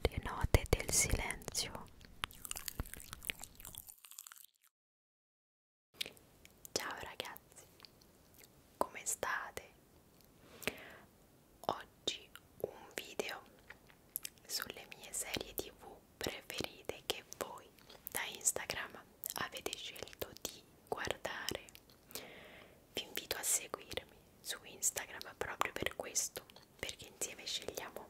le note del silenzio ciao ragazzi come state oggi un video sulle mie serie tv preferite che voi da instagram avete scelto di guardare vi invito a seguirmi su Instagram proprio per questo, perché insieme scegliamo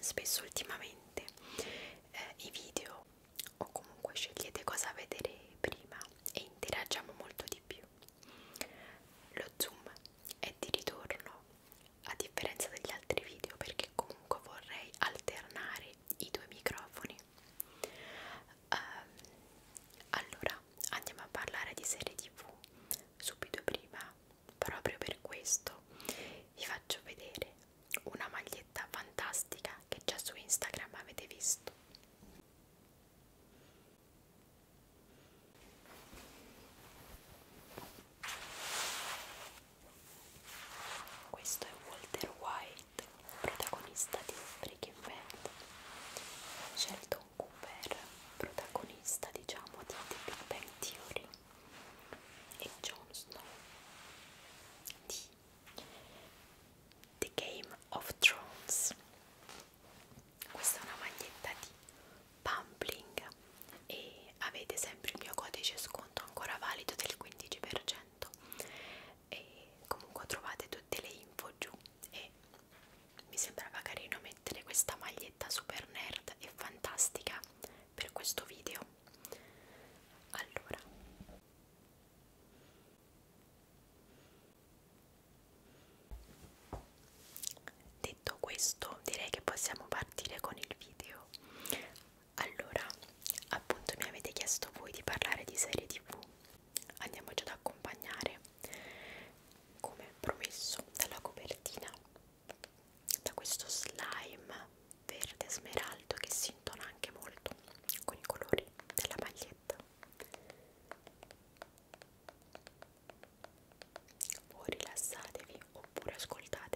spesso ultimamente eh, i video o comunque scegliete cosa vedere prima e interagiamo molto di più. Lo zoom è di ritorno a differenza degli altri video perché comunque vorrei alternare i due microfoni Um, allora andiamo a parlare di serie tv subito prima proprio per questo vi faccio vedere una maglietta fantastica che già su Instagram avete visto questo è Walter White protagonista di Breaking Bad scelto Tom Cooper, protagonista diciamo di The Big Bang Theory e Jon Snow di The Game of Thrones questa è una maglietta di Pumpling e avete sempre il mio codice sconto ancora valido del 15% e comunque trovate tutte le info giù e mi sembrava carino mettere questa maglietta super nerd e fantastica per questo video allora detto questo direi che possiamo partire con il video allora appunto mi avete chiesto voi di parlare di serie tv andiamoci ad accompagnare come promesso dalla copertina da questo slime verde smeraldo che si intona anche molto con i colori della maglietta o rilassatevi oppure ascoltatemi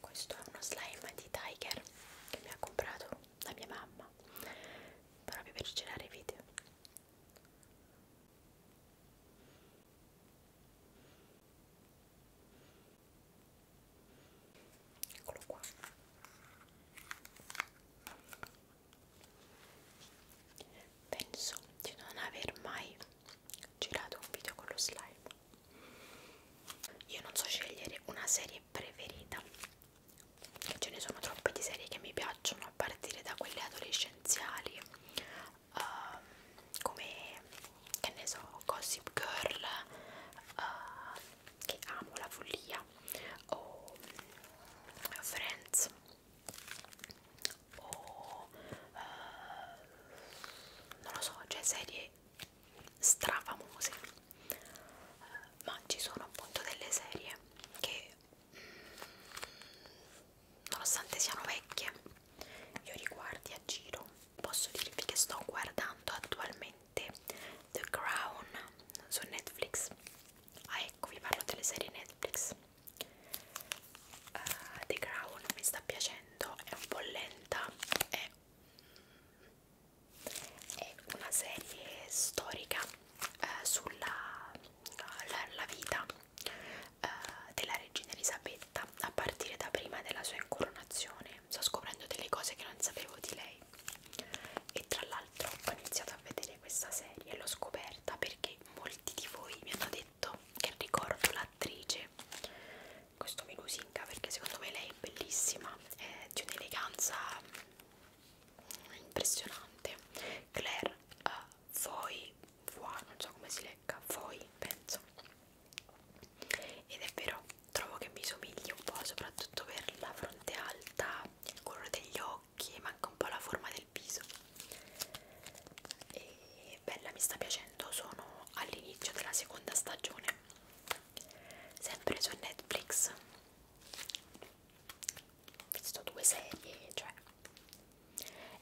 questo è uno slime di Tiger che mi ha comprato la mia mamma proprio per girare i video eccolo qua penso di non aver mai girato un video con lo slime io non so scegliere una serie preferita che ce ne sono troppe di serie che mi piacciono a partire da quelle adolescenziali uh, come che ne so Gossip Girl uh, che amo la follia o mm, Friends o uh, non lo so, cioè serie strafamose, uh, ma ci sono appunto delle serie che mm, nonostante siano vecchie io riguardi a giro posso dirvi che sto guardando attualmente The Crown su Netflix ah ecco vi parlo delle serie Netflix uh, The Crown mi sta piacendo è un po' lenta è, è una serie storica uh, sulla la, la vita uh, della regina Elisabetta a partire da prima della sua incoronazione sto scoprendo delle cose che non sapevo di lei e tra l'altro ho iniziato a vedere questa serie l'ho scoperta perché molti di voi mi hanno detto che ricordo l'attrice questo mi lusinga perché secondo me lei è bellissima è di un'eleganza impressionante Claire uh, Foy, Foy non so come si legga Foy penso ed è vero trovo che mi somigli un po' soprattutto per la fronte alta il colore degli occhi manca un po' la forma del viso e bella mi sta piacendo sono all'inizio della seconda stagione sempre su Netflix ho visto due serie cioè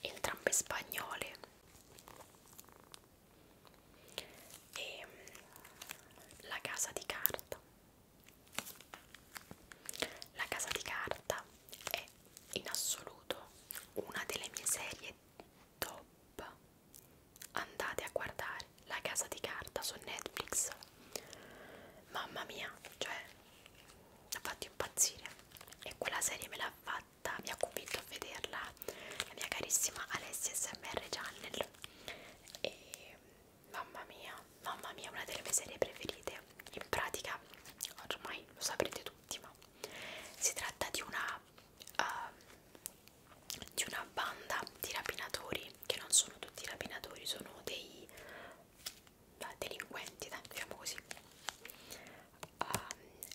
entrambe spagnole e la casa di carta la casa di carta è in assoluto una delle mie serie top andate a guardare la casa di carta su Netflix mamma mia cioè mi ha fatto impazzire e quella serie me l'ha fatta mi ha convinto a vederla la mia carissima Alessia SMR Channel e mamma mia mamma mia una delle mie serie preferite in pratica ormai lo saprete tutti l'ultima si tratta di una uh, di una banda di rapinatori che non sono tutti rapinatori sono dei uh, delinquenti dai, diciamo così uh,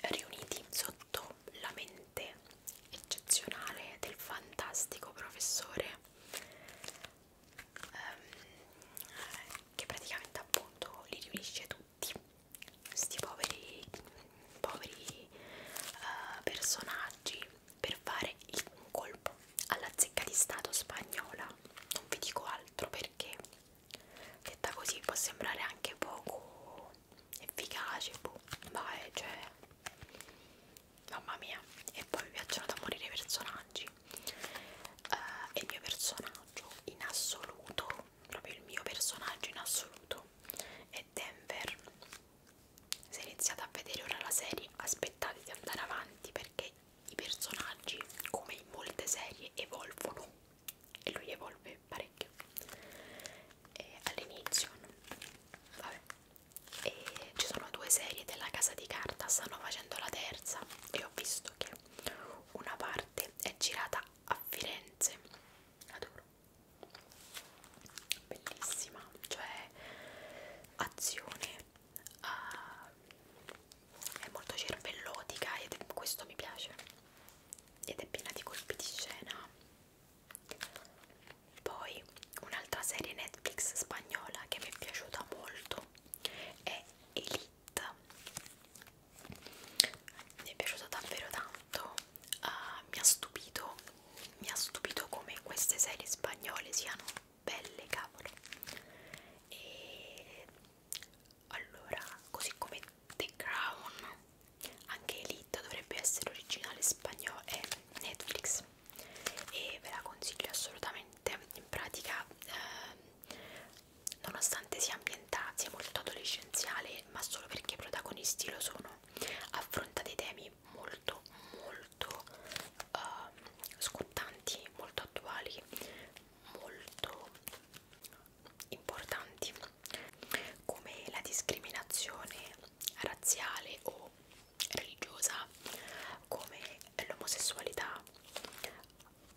riuniti sotto la mente eccezionale del fantastico professore um, che praticamente appunto li riunisce tutti questi poveri, poveri uh, personaggi per fare il, un colpo alla zecca di stato spagnola non vi dico altro perché detta così può sembrare anche poco efficace boh. ma è cioè mamma mia e poi mi piacciono da morire i personaggi uh, e il mio personaggio in assoluto proprio il mio personaggio in assoluto è Denver se iniziate a vedere ora la serie aspettate di andare avanti perché i personaggi come in molte serie evolvono e lui evolve parecchio all'inizio vabbè e ci sono due serie della casa di carta stanno facendo la terza e ho visto che una parte è girata a Firenze adoro bellissima cioè azione uh, è molto cervellotica e questo mi piace ed è piena di colpi di scena poi un'altra serie Netflix spagnola che mi è piaciuta molto è Elite kit mi è piaciuta davvero tanto uh, mi ha stupito mi ha stupito come queste serie spagnole siano belle cavolo e allora così come The Crown anche Elite dovrebbe essere originale spagnolo e eh, Netflix e ve la consiglio assolutamente in pratica eh, Nonostante sia ambientata, sia molto adolescenziale, ma solo perché i protagonisti lo sono, affronta dei temi molto, molto uh, scottanti, molto attuali, molto importanti, come la discriminazione razziale o religiosa, come l'omosessualità.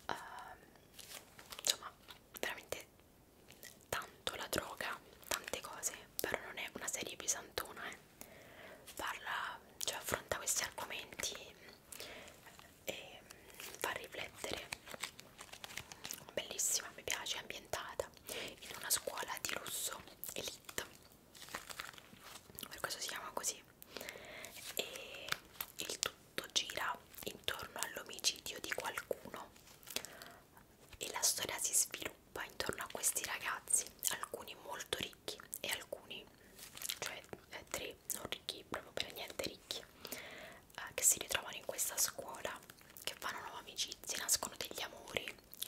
Uh, insomma veramente tanto la droga, tante cose, però non è una serie pesantona, eh. Parla, cioè affronta questi argomenti e fa riflettere. Bellissima, mi piace, è ambientata in una scuola di russo elite. Per questo si chiama così. E il tutto tutto gira intorno all'omicidio di qualcuno e la storia si sviluppa intorno a questi ragazzi, alcuni molto ricchi e alcuni, cioè eh, tre non ricchi, proprio per niente ricchi, eh, che si ritrovano in questa scuola, che fanno nuove amicizie, nascono degli amori,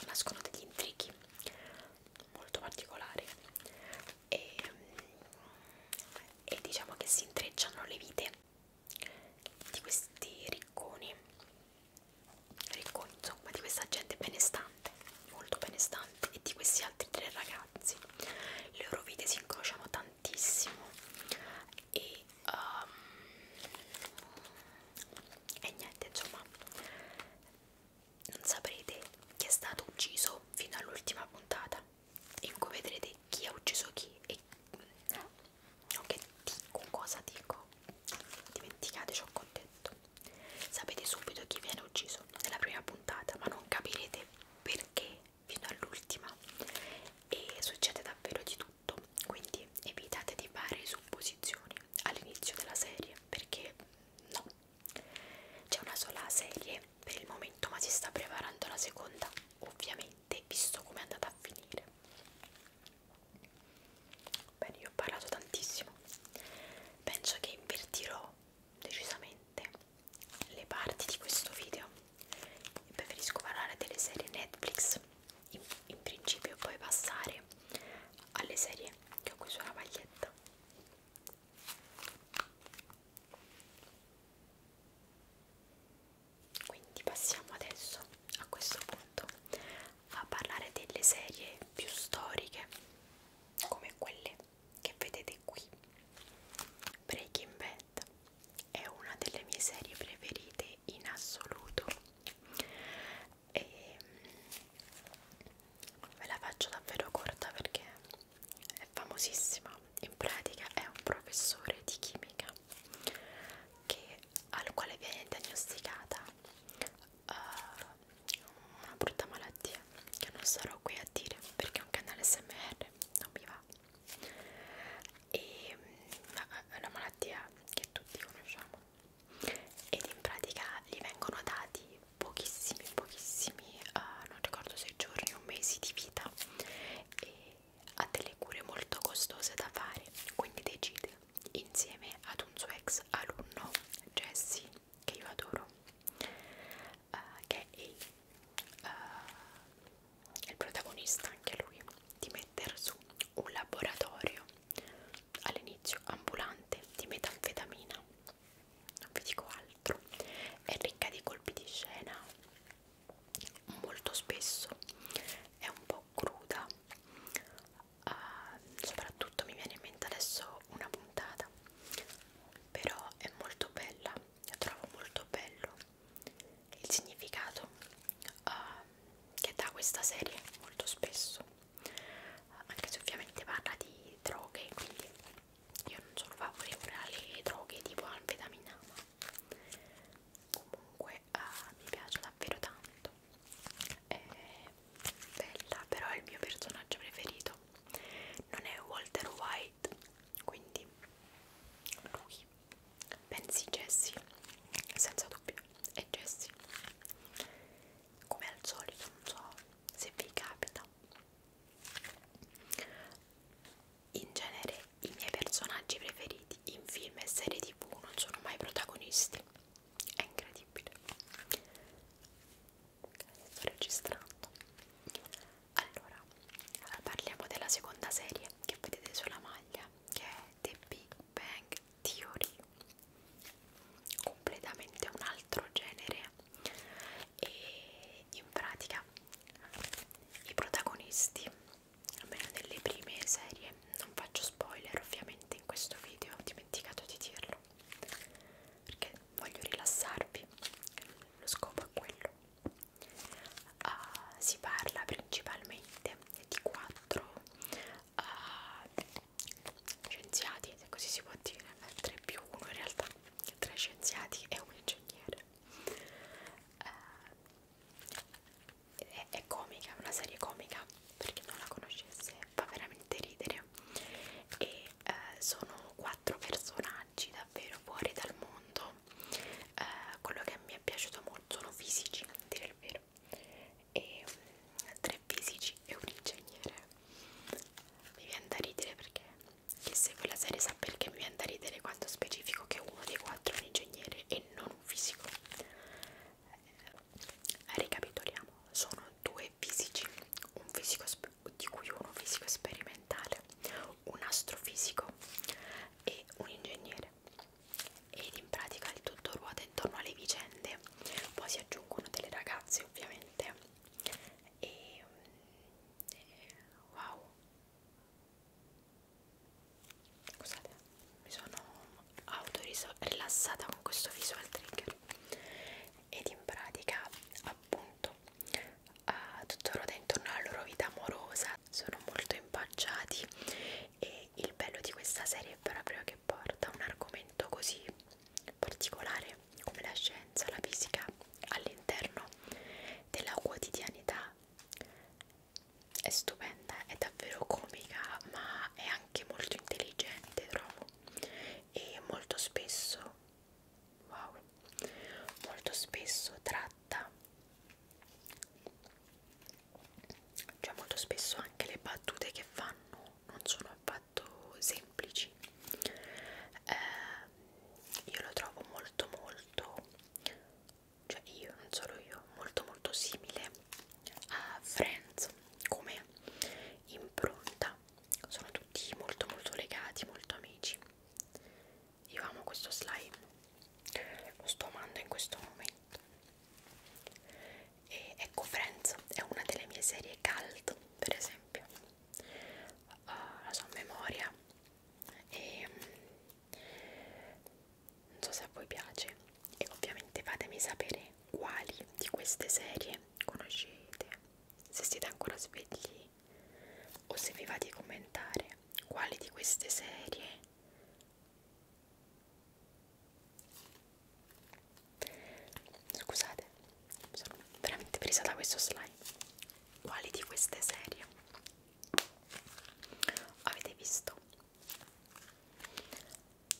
nascono degli intrighi molto particolari e, mm, e diciamo che si intrecciano le vite di questi ricconi ricconi insomma di questa gente benestante molto benestante e di questi altri tre ragazzi le loro vite si incrociano tantissimo e, um, e niente insomma non saprete chi è stato ucciso fino all'ultima puntata in cui vedrete chi ha ucciso chi e non mm, che dico, cosa dico dimenticate ciò che ho detto sapete subito chi viene ucciso nella prima puntata ma non capirete perché fino all'ultima e succede davvero di tutto quindi evitate di fare supposizioni all'inizio della serie perché no c'è una sola serie per il momento ma si sta preparando la seconda ovviamente visto come è andata a finire bene io ho parlato tantissimo penso che invertirò decisamente le parti di questo video preferisco parlare delle serie Netflix in, in principio poi passare alle serie che ho qui sulla maglietta quindi passiamo adesso a questo punto a parlare delle serie più storiche come quelle che vedete qui. Breaking Bad è una delle mie serie preferite in assoluto e ehm, ve la faccio davvero corta perché è famosissima, in pratica è un professore di chimica che, al quale viene diagnosticata uh, una brutta malattia che non sarò qui a dire perché è un canale SMR, non mi va e eh, è una malattia che tutti conosciamo ed in pratica gli vengono dati pochissimi pochissimi uh, non ricordo se giorni o mesi di vita e ha delle cure molto costose da fare, quindi decide insieme ad un suo ex alunno Jesse, che io adoro, uh, che è uh, il protagonista anche lui, di mettere su un laboratorio all'inizio ambulante di metanfetamina non vi dico altro è ricca di colpi di scena molto spesso è un po' cruda uh, soprattutto mi viene in mente adesso una puntata però è molto bella la trovo molto bello il significato uh, che dà questa serie molto spesso uh, anche se ovviamente parla di droghe quindi io non sono favorevole alle droghe tipo anfetamina ma comunque uh, mi piace davvero tanto è bella però è il mio personaggio preferito non è Walter White quindi lui pensi Jessie senza dubbio è Jessie come al solito non so se vi capita in genere i miei personaggi preferiti in film e serie tv non sono mai protagonisti. È incredibile. Sto registrando. Allora, parliamo della seconda serie che vedete sulla maglia, che è The Big Bang Theory. Completamente un altro genere e in pratica i protagonisti almeno delle prime serie non faccio spoiler ovviamente in questo video ho dimenticato di dirlo perché voglio rilassarvi lo scopo è quello uh, si parla principalmente di quattro uh, scienziati se così si può dire 3 eh, più 1 in realtà 3 scienziati e un ingegnere eh, è, è comica, è una serie comica per chi non la conoscesse fa veramente ridere e eh, sono quattro personaggi davvero fuori dal mondo eh, quello che mi è piaciuto molto sono fisici, a dire il vero e mm, tre fisici e un ingegnere mi viene da ridere perché chi segue la serie sa perché mi viene da ridere quando specifico che uno dei quattro è un ingegnere e non un fisico. Eh, ricapitoliamo, sono due fisici, un fisico di cui uno fisico sperimentale, un astrofisico e un ingegnere. Ed in pratica il tutto ruota intorno alle vicende, poi si aggiungono delle ragazze ovviamente. E, mm, e wow, Scusate, mi sono autorilassata con questo visual trigger ed in pratica appunto uh, tutto ruota intorno alla loro vita amorosa sono molto impacciati e il bello di questa serie è proprio che porta un argomento così particolare come la scienza, la fisica all'interno della quotidianità è stupenda, è davvero comica ma è anche molto intelligente trovo e molto spesso wow molto spesso tratta cioè molto spesso anche le battute che fanno non sono affatto semplici eh, io lo trovo molto molto cioè io, non solo io, molto molto simile a Friends come impronta, sono tutti molto molto legati, molto amici. Io amo questo slime, lo sto amando in questo momento. E ecco Friends è una delle mie serie cult, per esempio. Uh, la sua memoria e mm, non so se a voi piace e ovviamente fatemi sapere quali di queste serie conoscete se siete ancora svegli o se vi va di commentare quali di queste serie scusate sono veramente presa da questo slide quali di queste serie avete visto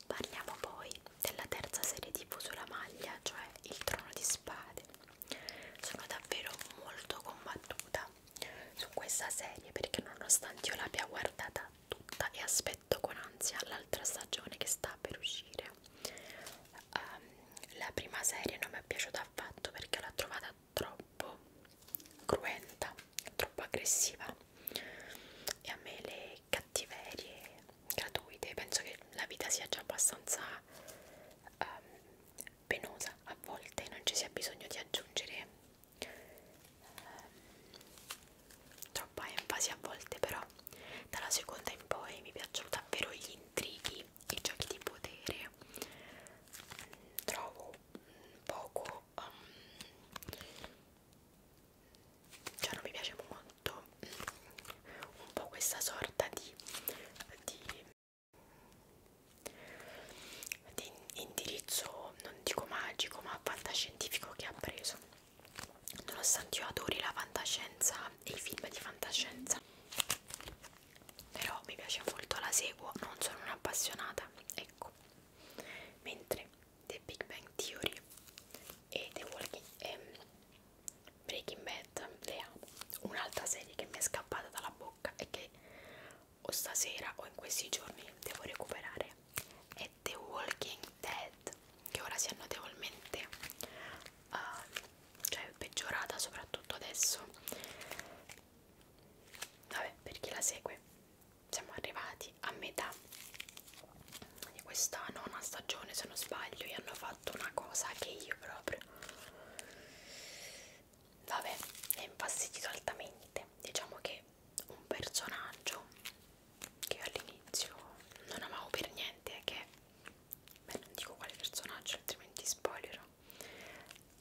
parliamo poi della terza serie tv sulla maglia cioè il trono di spade sono davvero molto combattuta su questa serie perché nonostante io l'abbia guardata tutta e aspetto con ansia l'altra stagione che sta per uscire um, la prima serie non mi è piaciuta affatto perché l'ho trovata troppo cruenta, troppo aggressiva e a me le cattiverie gratuite, penso che la vita sia già abbastanza um, penosa a volte, non ci sia bisogno di aggiungere um, troppa enfasi a volte però dalla seconda in poi mi piacciono davvero gli intrighi i giochi di potere mh, trovo mh, poco um, cioè non mi piace molto mh, un po' questa sorta di, di, di indirizzo non dico magico ma fantascientifico che ha preso nonostante io adori la fantascienza e i film di fantascienza però mi piace molto, la seguo, non sono un'appassionata, ecco. Mentre The Big Bang Theory e The Walking ehm, Breaking Bad le amo. Un'altra serie che mi è scappata dalla bocca e che o stasera o in questi giorni devo recuperare è The Walking Dead, che ora si è notevolmente uh, cioè peggiorata soprattutto adesso vabbè per chi la segue siamo arrivati a metà di questa nona stagione se non sbaglio e hanno fatto una cosa che io proprio vabbè mi ha infastidito altamente diciamo che un personaggio che all'inizio non amavo per niente che beh non dico quale personaggio altrimenti spoilerò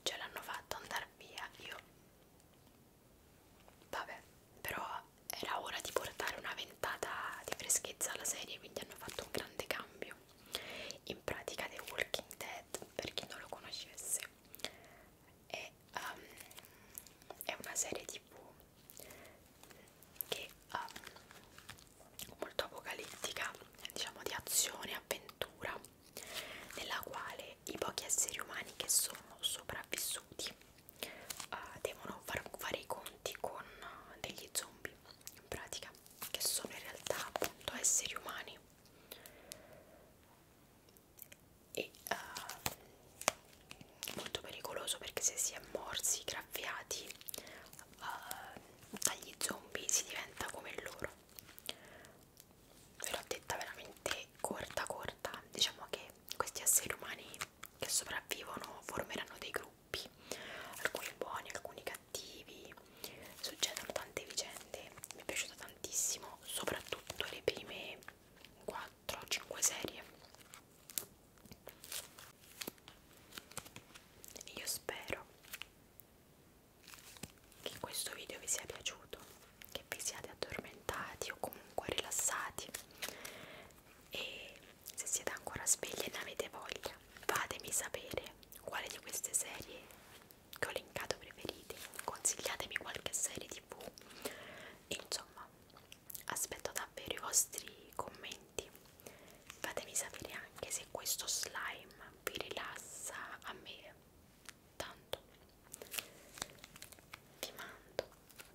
ce l'hanno fatto andare via io vabbè però era ora di portare una ventata di freschezza alla serie quindi hanno fatto un grande cambio in pratica The Walking Dead per chi non lo conoscesse è, um, è una serie tv che um, molto apocalittica diciamo di azione avventura nella quale i pochi esseri umani che sono sopravvissuti uh, devono far, fare i conti con uh, degli zombie in pratica che sono in realtà appunto esseri umani e uh, molto pericoloso perché se si è morsi graffiati uh, dagli zombie si diventa come loro ve l'ho detta veramente corta corta diciamo che questi esseri umani che sopravvivono formeranno dei gruppi alcuni buoni alcuni cattivi succedono tante vicende mi è piaciuta tantissimo soprattutto le prime 4 5 serie io spero che questo video vi sia piaciuto, che vi siate addormentati o comunque rilassati e se siete ancora svegli e ne avete voglia fatemi sapere quale di queste serie che ho linkato preferite, consigliatemi qualche serie tv, insomma aspetto davvero i vostri commenti, fatemi sapere anche se questo slime vi rilassa a me tanto vi mando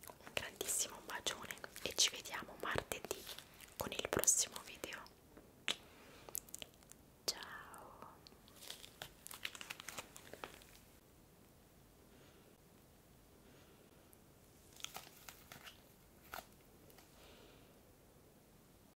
un grandissimo bacione e ci vediamo martedì con il prossimo video ciao